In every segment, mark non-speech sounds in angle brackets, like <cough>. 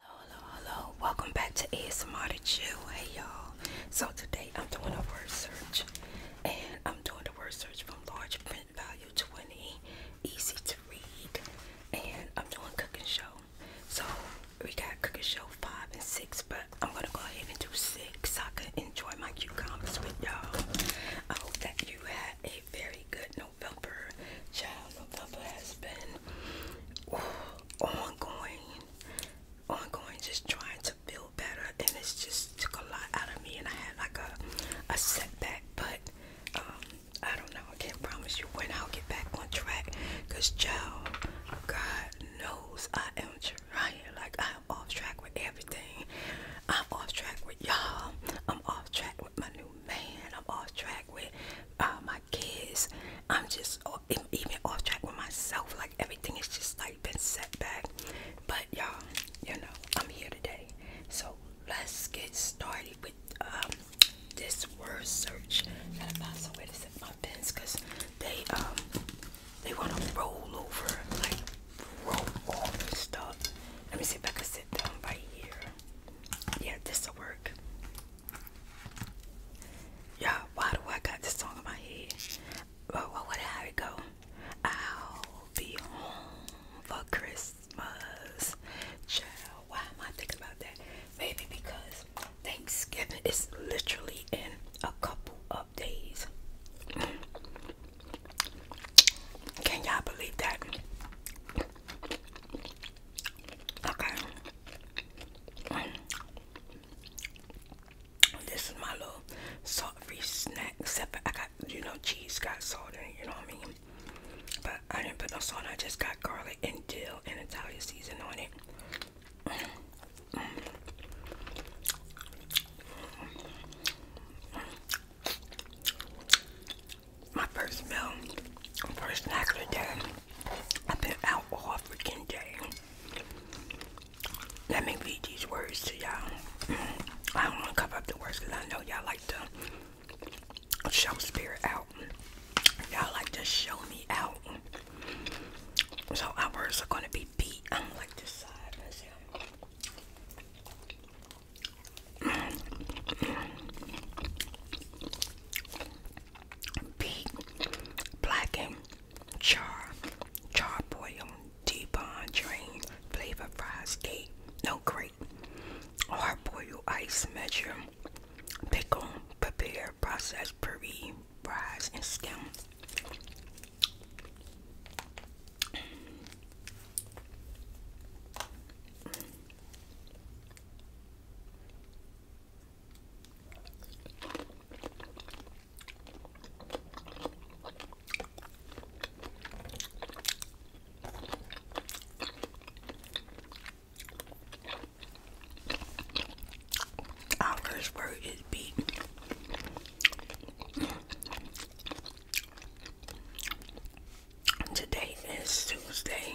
Hello, hello, welcome back to ASMR to you. Hey y'all. So today I'm doing a word search and I'm doing the word search from large print value 20, easy to read, and I'm doing cooking show. So we got cooking show five and six, but I'm gonna go ahead and do six so I can enjoy my cucumbers with y'all. I hope that you had a very good November. Child of has been ongoing, ongoing, just trying to feel better, and it's just took a lot out of me, and I had like a a setback, but um, I don't know. I can't promise you when I'll get back on track, cause child, God knows I am trying. Like I'm off track with everything. I'm off track with y'all. I'm off track with my new man. I'm off track with uh, my kids. I'm just even off track with myself. Like everything is just like been set back. But y'all, you know, I'm here today. So let's get started with um, this word search. Gotta find somewhere to set my pens because they um they wanna roll over like roll all this stuff. Let me see if I can sit down right here. Yeah, this'll work you why do I got this song in my head? Well, well, what how it go? I'll be home for Christmas. why am I thinking about that? Maybe because Thanksgiving is literally in a couple of days. Can y'all believe that? Okay. This is my little salt-free snack. Except I got, you know, cheese got salt in it, you know what I mean? But I didn't put no salt I just got garlic and dill and Italian season on it my first meal, first snack of the day. I've been out all freaking day. Let me read these words to y'all. <clears throat> I don't want to cover up the words because I know y'all like to show spirit out. Y'all like to show me out. So our words are going to be beat. I do like this side. <clears throat> black and Char, Charboil, deep on Drain, Flavor Fried Steak, No great, Hard Boiled Ice Measure, Pickle, Prepare, Process, Puree, Rise, and Stem. Our first word is beat. Today is Tuesday,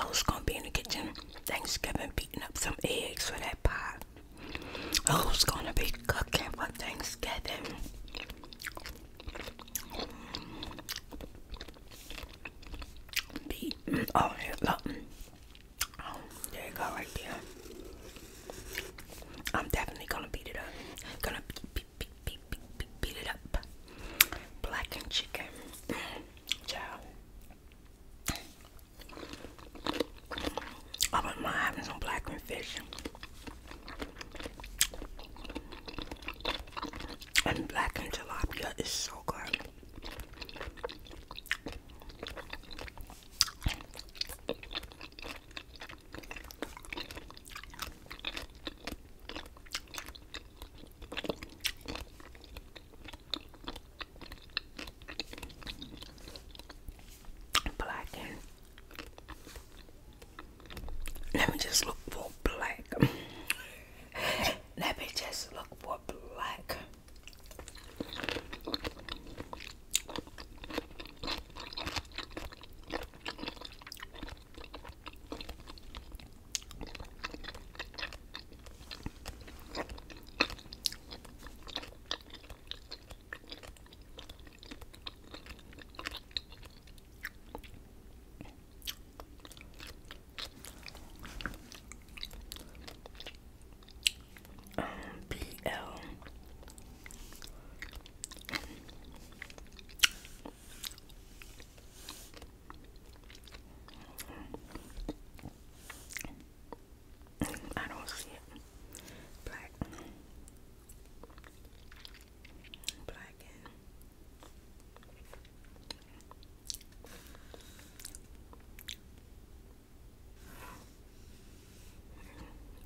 Who's gonna be in the kitchen Thanksgiving beating up some eggs for that pie. Who's gonna be cooking for Thanksgiving. Beating. Oh, here, look. Oh, there you go, right there. I'm definitely gonna beat it up. Gonna beat, beat, beat, beat, beat, beat it up. Blackened chicken. Ciao. <clears throat> I wouldn't mind having some blackened fish. And blackened tilapia is so good. Black. Let me just look for black. <laughs> Let me just look for black. BL I don't see it. Black, black,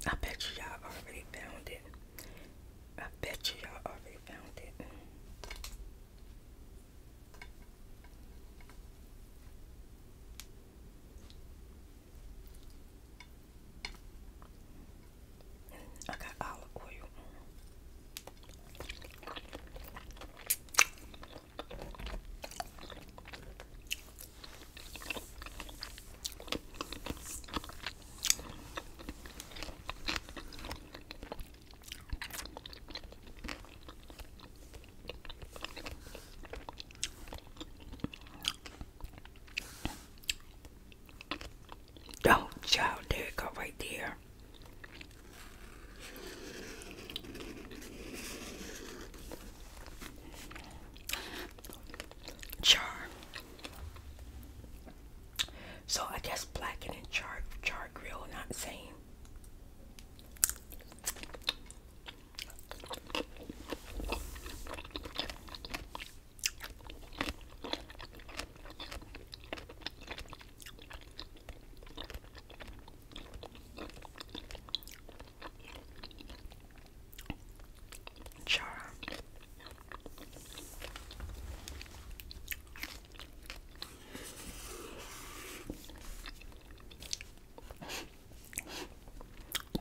I bet you y'all already found it. I bet you y'all already found it. I got olive oil. Don't oh, child, there it go right there char. So I guess blacking and char char grill, not saying.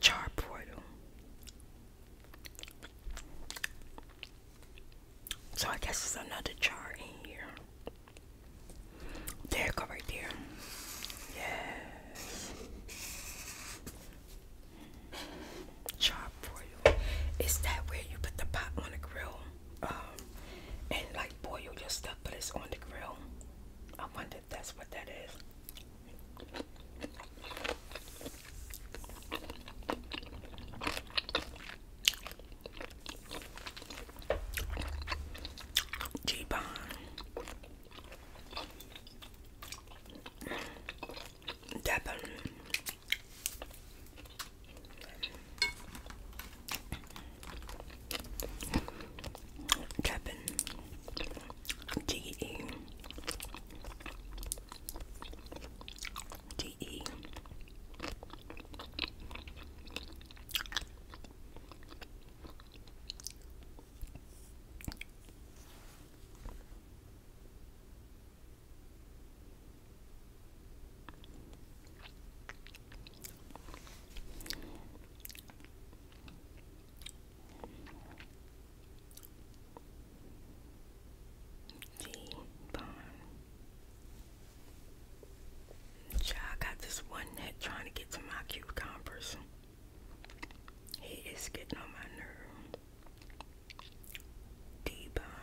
Char portal. So I guess there's another char in here. There, go right there. Yes chop Is that where you put the pot on the grill? Um, and like boil your stuff, but it's on the grill. I wonder if that's what that is. G-Bond. Devon. Devon. D E. D E. D I got this one net trying to get to my cucumbers. He is getting on my nerve. Devon.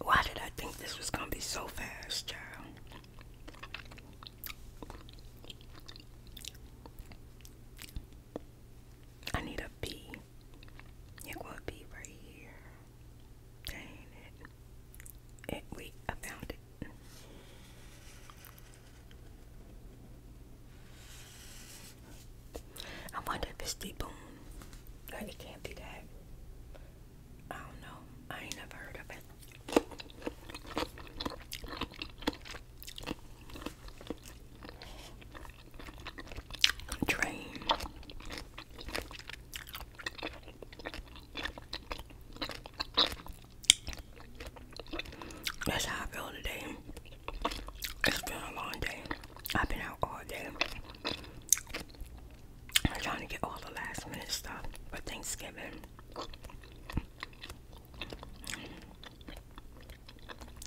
Why did I think this was gonna be so fast, child? I need a B. It will be right here. Dang it. Wait, I found it. I wonder if it's deep. boom. Like it can't be that. I don't know. I ain't never heard of it. Train. That's how I feel today. It's been a long day. I've been out all day. I'm trying to get all the last minute stuff for Thanksgiving.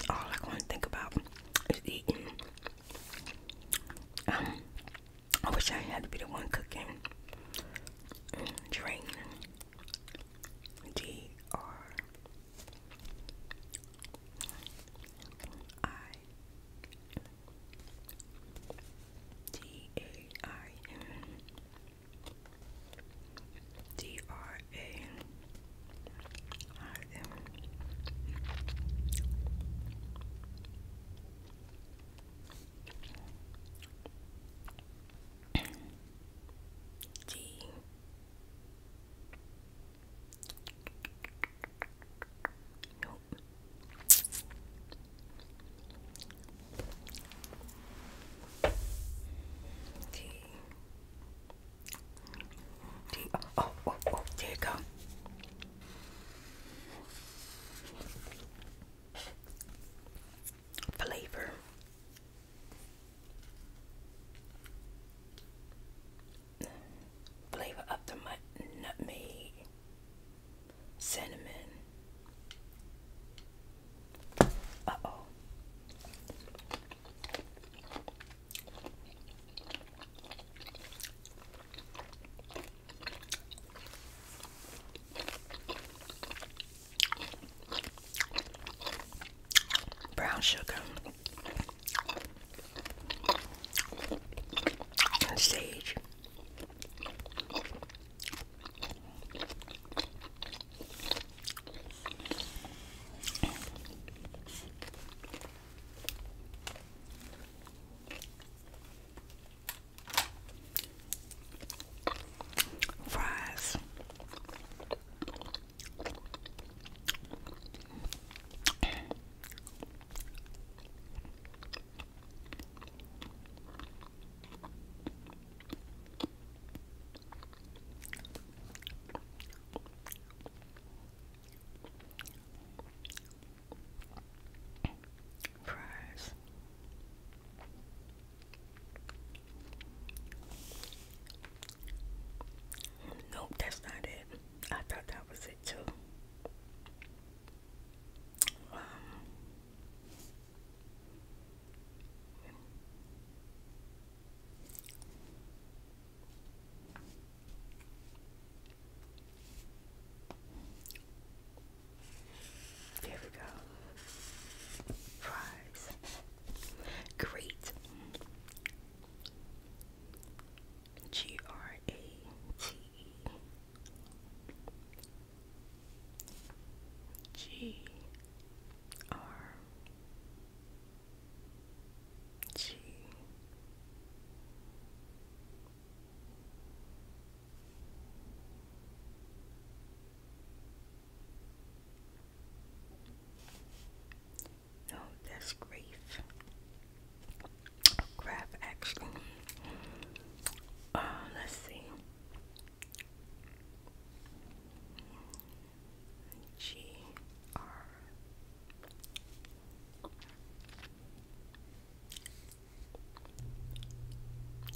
All I want to think about is eating. Um, I wish I had to be the one cooking. Drain. D R I D A I N D R A I M D Nope. T. T. oh, oh, oh, there you go. Flavor. Flavor up to the nutmeg, cinnamon. Uh oh brown sugar, and sage. Fries. Fries. Nope, that's not it. I thought that was it too. Um, we go. Fries. Great. G R A T E G R G no, oh, that's grief. Crap, actually. Uh, let's see. G R.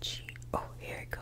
G. Oh, here we go.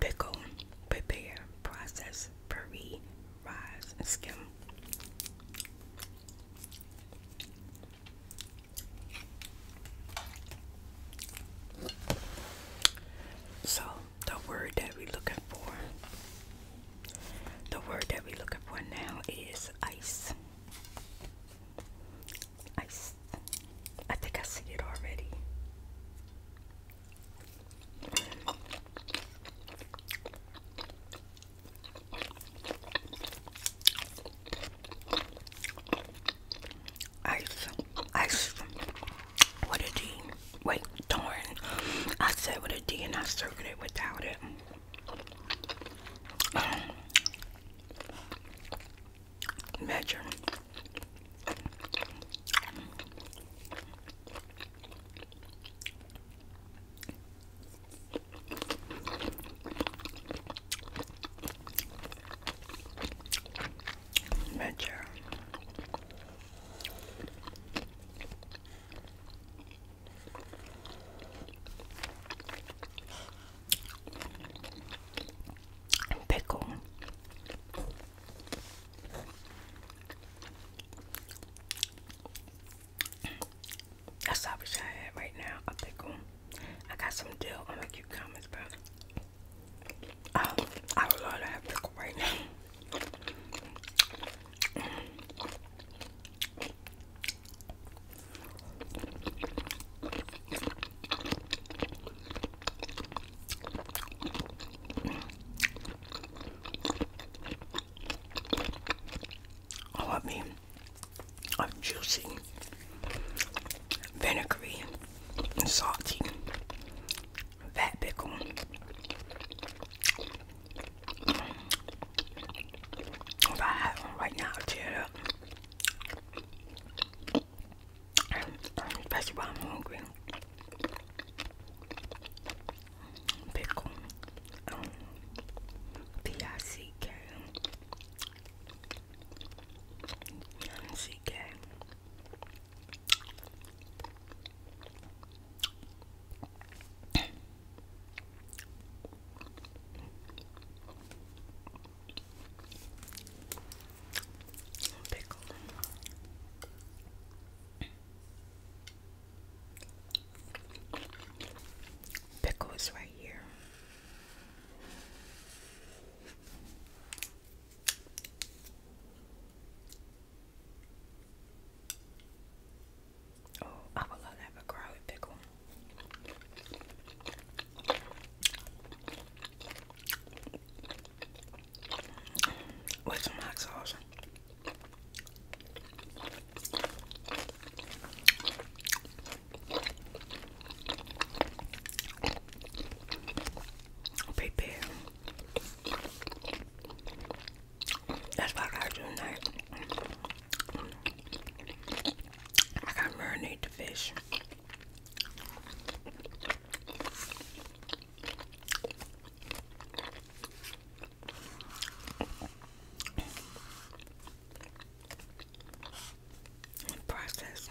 Pickle, prepare, process, puree, rise, skim. So, the word that we're looking for, the word that we're looking for now is ice. Ice. I think I see it already. Ice, ice, with a D. Wait, darn. I said with a D and I circled it without it. Um, measure. Major. Pickle. That's I wish I had right now. A pickle. I got some dill on my cucumbers, bro. I, I would love to pickle right now. I want me a juicy, vinegary, and salty that pickle. If I had one right now, I'd tear up. Especially when I'm hungry. Pickle. Um, Pickles, Pickle right here. Oh, I would love to have a pickle. With some sauce prepare. That's what I do I got marinate the fish. process.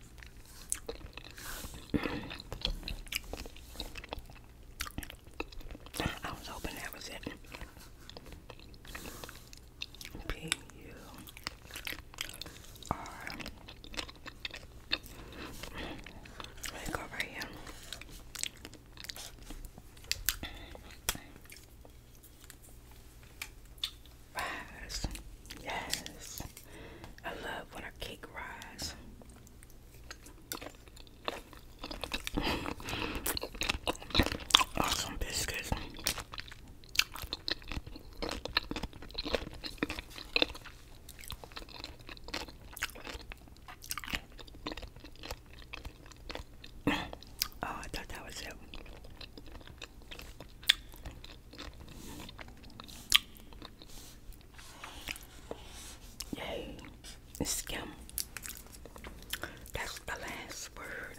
I was hoping that was it. P U R. Let me go right here. Rise. Yes. I love when a cake rise. Awesome biscuits. oh, I thought that was it. Yay, skim. That's the last word.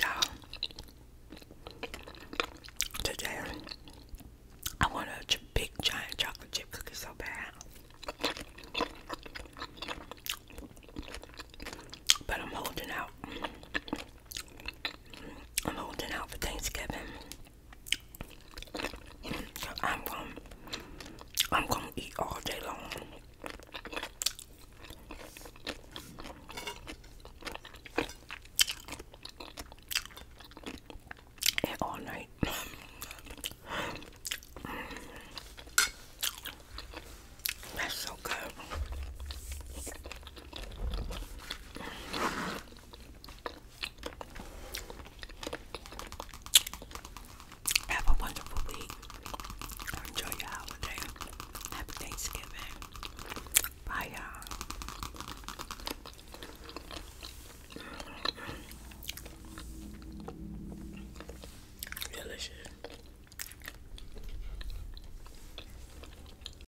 Now, today I want a big giant chocolate chip cookie so bad, but I'm holding out. I'm holding out for Thanksgiving. I'm going I'm gonna eat all day long. And all night. That's so good. Have a wonderful week. Enjoy your holiday. Happy Thanksgiving. Bye, y'all. Delicious.